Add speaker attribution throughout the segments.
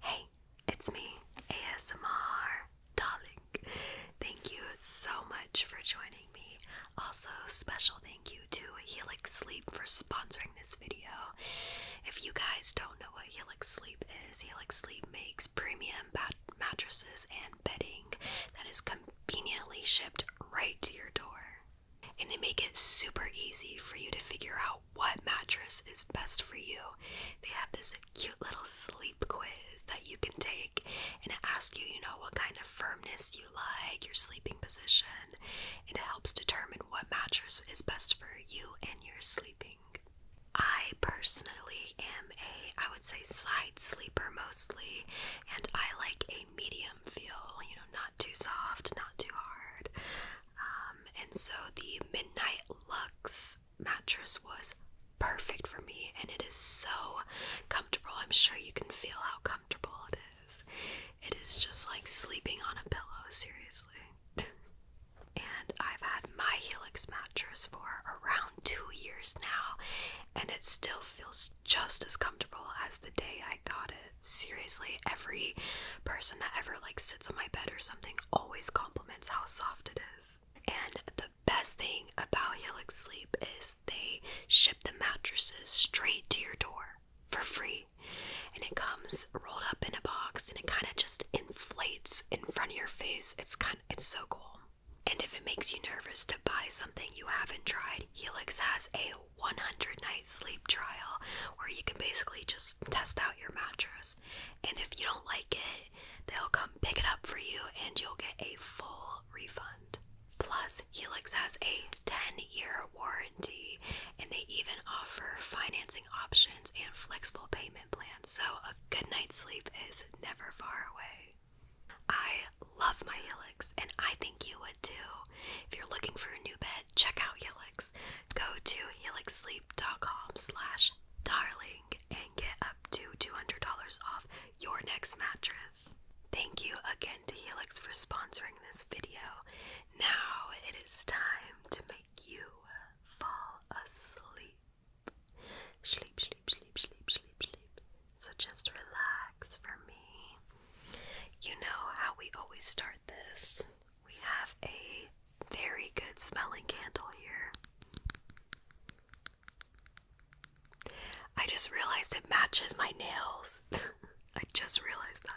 Speaker 1: Hey, it's me, ASMR Darling. Thank you so much for joining me. Also, special thank you to Helix Sleep for sponsoring this video. If you guys don't know what Helix Sleep is, Helix Sleep makes premium mattresses and bedding that is conveniently shipped right to your door. And they make it super easy for you to figure out what mattress is best for you. They have this cute little sleep quiz that you can take and it asks you, you know, what kind of firmness you like, your sleeping position, it helps determine what mattress is best for you and your sleeping. I personally am a, I would say, side sleeper mostly, and I like a medium feel, you know, not too soft, not too hard. Um, and so the Midnight Lux mattress was perfect for me, and it is so comfortable. I'm sure you can feel how comfortable it is. It is just like sleeping on a pillow, seriously. and I've had my Helix mattress for around two years now, and it still feels just as comfortable as the day I got it seriously, every person that ever like sits on my bed or something always compliments how soft it is. And the best thing about Helix Sleep is they ship the mattresses straight to your door for free. And it comes rolled up in a box and it kind of just inflates in front of your face. It's kind it's so cool. And if it makes you nervous to buy something you haven't tried, Helix has a 100 night sleep trial where you can basically just test out your mattress. And if you don't like it, they'll come pick it up for you and you'll get a full refund. Plus, Helix has a 10 year warranty and they even offer financing options and flexible payment plans, so a good night's sleep is never far away. I love my Helix and I think you would too. If you're looking for a new bed, check out Helix. Go to helixsleep.com slash darling and get up to $200 off your next mattress. Thank you again to Helix for sponsoring this video. Now it is time to make you fall asleep. Sleep, sleep, sleep, sleep, sleep, sleep. So just relax for me. You know how we always start this we have a very good smelling candle here. I just realized it matches my nails. I just realized that.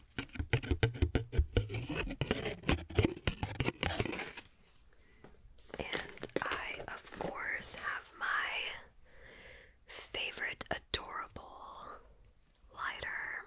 Speaker 1: And I, of course, have my favorite adorable lighter.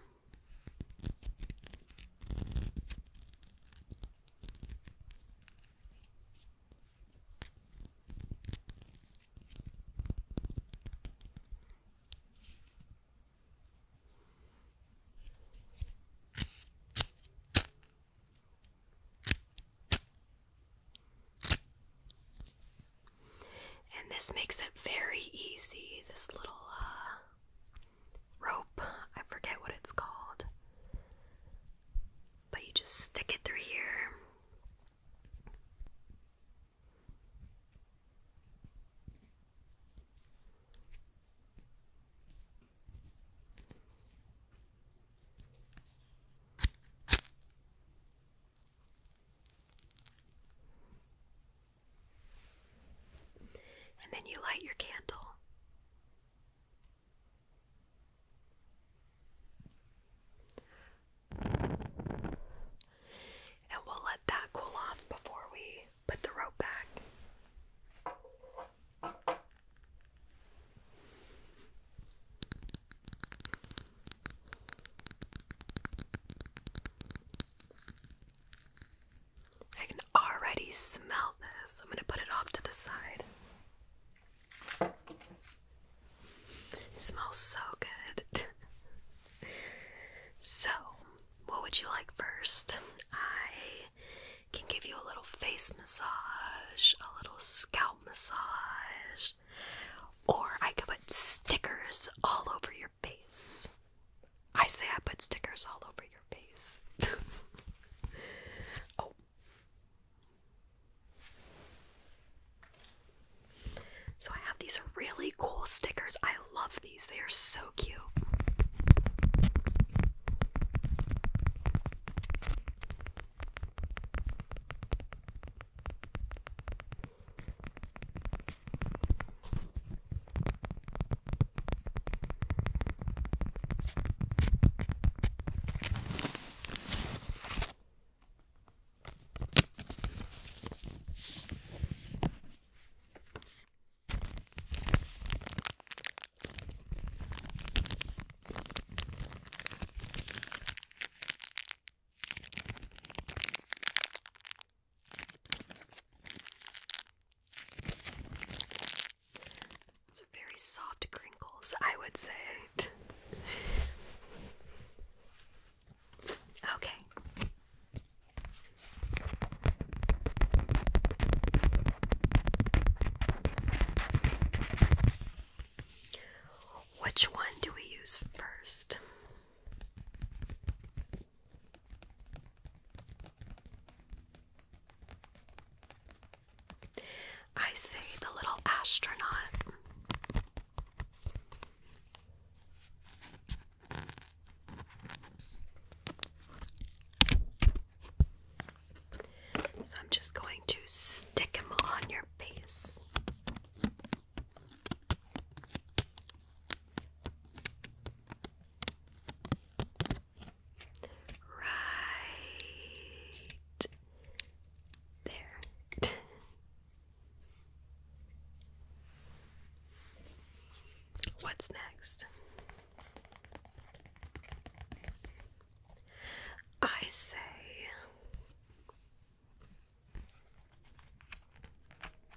Speaker 1: And this makes it very easy. This little uh, rope, I forget what it's called, but you just stick it through here. And then you light your candle. And we'll let that cool off before we Put the rope back. I can already smell this. I'm going to put it off to the side. smells so good. so, what would you like first? I can give you a little face massage, a little scalp massage, or I can put stickers all over your face. I say I put stickers all over your face. oh. So I have these really cool stickers. I I love these. They are so cute. It's a very soft crinkles, I would say. Okay. Which one do we use first? I say the little astronaut. So I'm just going to stick them on your face. Right there. What's next? I say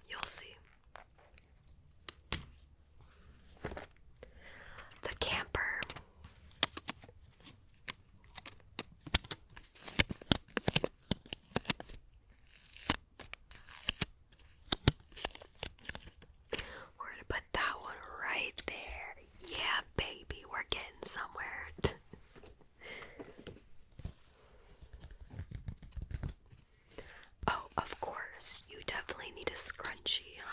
Speaker 1: you'll see. The camper. We're gonna put that one right there. Yeah, baby, we're getting somewhere. oh, of course, you definitely need a scrunchie, huh?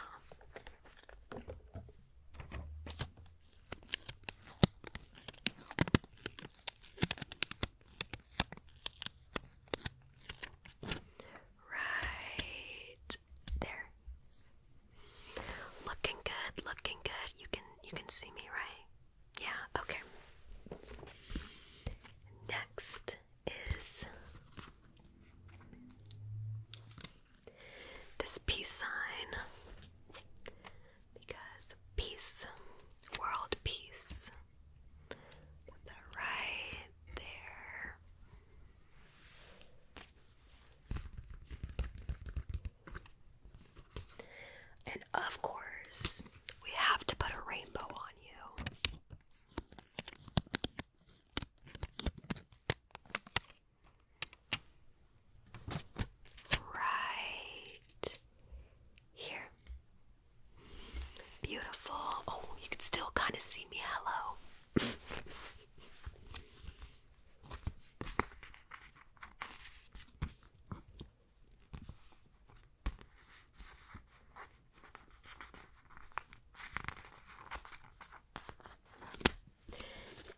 Speaker 1: Right there. Looking good, looking good. You can you can see me, right? Yeah, okay. Next is this peace sign because peace, world peace. right there. And of course, we have to put a rainbow on you. Right here. Beautiful. Oh, you can still kind of see me. Hello.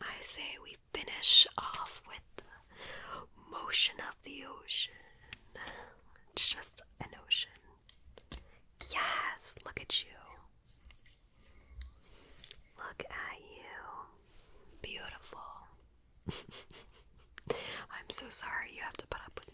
Speaker 1: I say we finish off with motion of the ocean. It's just an ocean. Yes, look at you. Look at you. Beautiful. I'm so sorry you have to put up with me.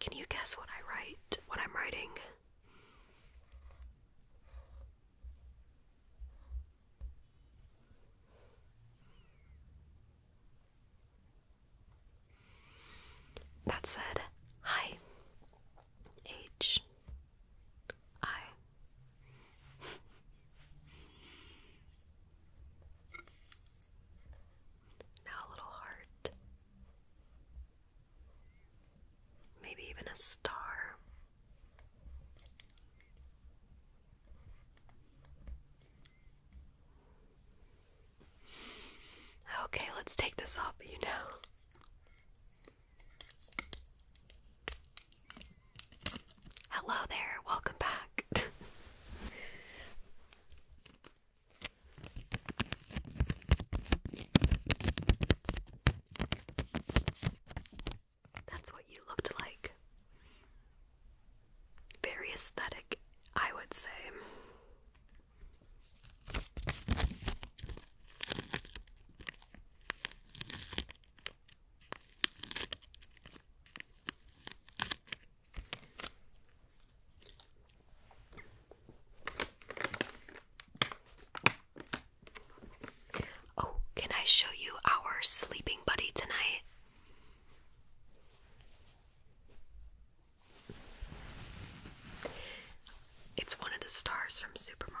Speaker 1: Can you guess what I write? What I'm writing? That said, hi. H. I. Now a little heart. Maybe even a star. Okay, let's take this off, you know. Hello there, welcome back. That's what you looked like. Very aesthetic, I would say. Oh, can I show you our sleeping buddy tonight? It's one of the stars from Super Mario.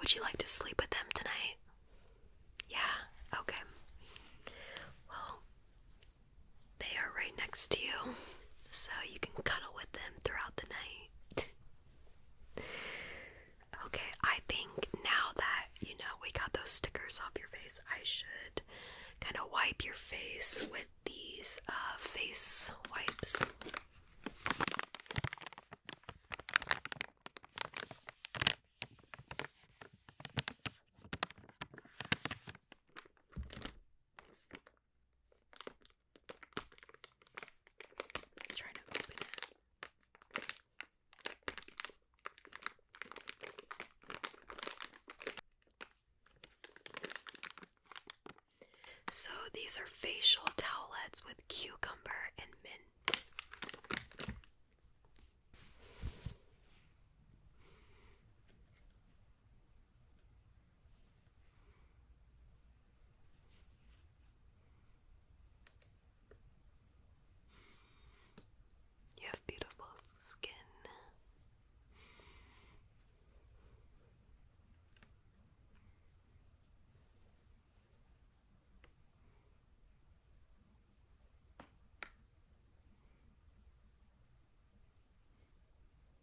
Speaker 1: Would you like to sleep with them tonight? Yeah, okay. Well, they are right next to you, so you can cuddle with them throughout the night. okay, I think now that you know we got those stickers off your face, I should kind of wipe your face with these uh, face wipes. So these are facial towelettes with cucumber and mint. You have beautiful skin.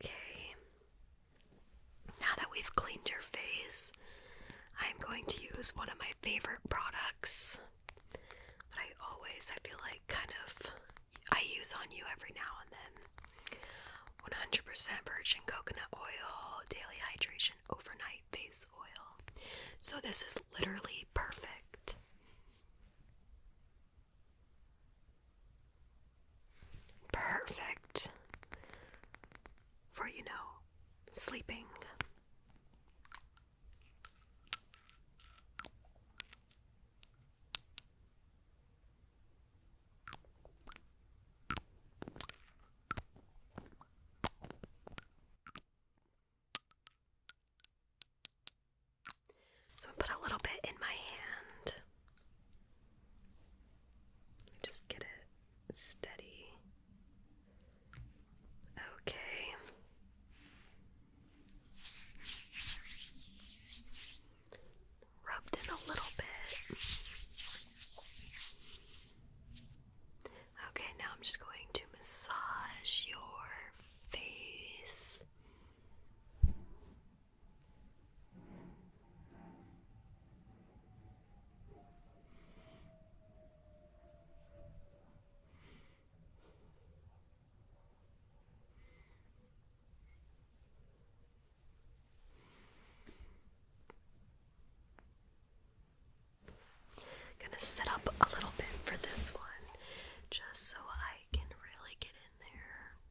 Speaker 1: Okay. Now that we've cleaned your face, I'm going to use one of my favorite products that I always, I feel like, kind of I use on you every now and then. 100% virgin coconut oil, daily hydration, overnight face oil. So this is literally perfect. Perfect for, you know, sleeping. So I put a little bit in my hand. Just get it steady. Okay. Rubbed in a little bit. Okay, now I'm just going to massage your face. I'm gonna set up a little bit for this one just so I can really get in there.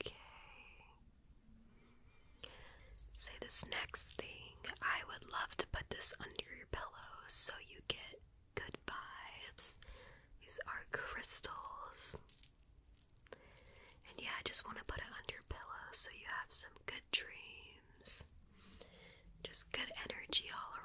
Speaker 1: Okay. Say this next thing. I would love to put this under your pillow so you get good vibes. These are crystals. And yeah, I just want to put it under your pillow so you have some good dreams. Just good energy all around.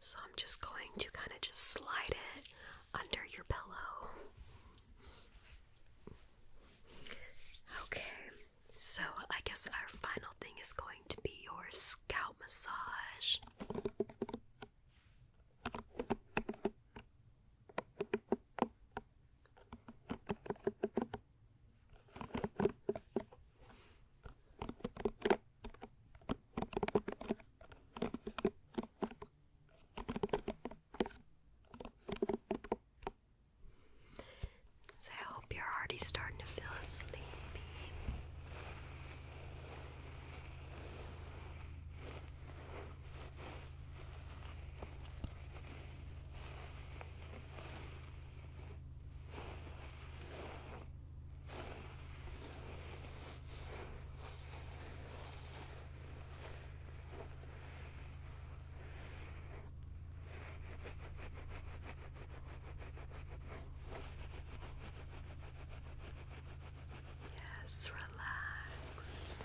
Speaker 1: So I'm just going to kind of just slide it under your pillow. Okay, so I guess our final thing is going to be your scalp massage. So, I hope you're already starting to feel sleepy. Yes, relax.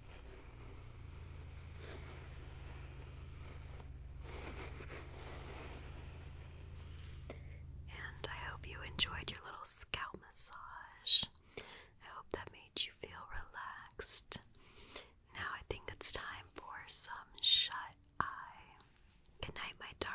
Speaker 1: And I hope you enjoyed your little scalp massage. I hope that made you feel relaxed. Now I think it's time for some shut eye. Good night, my darling.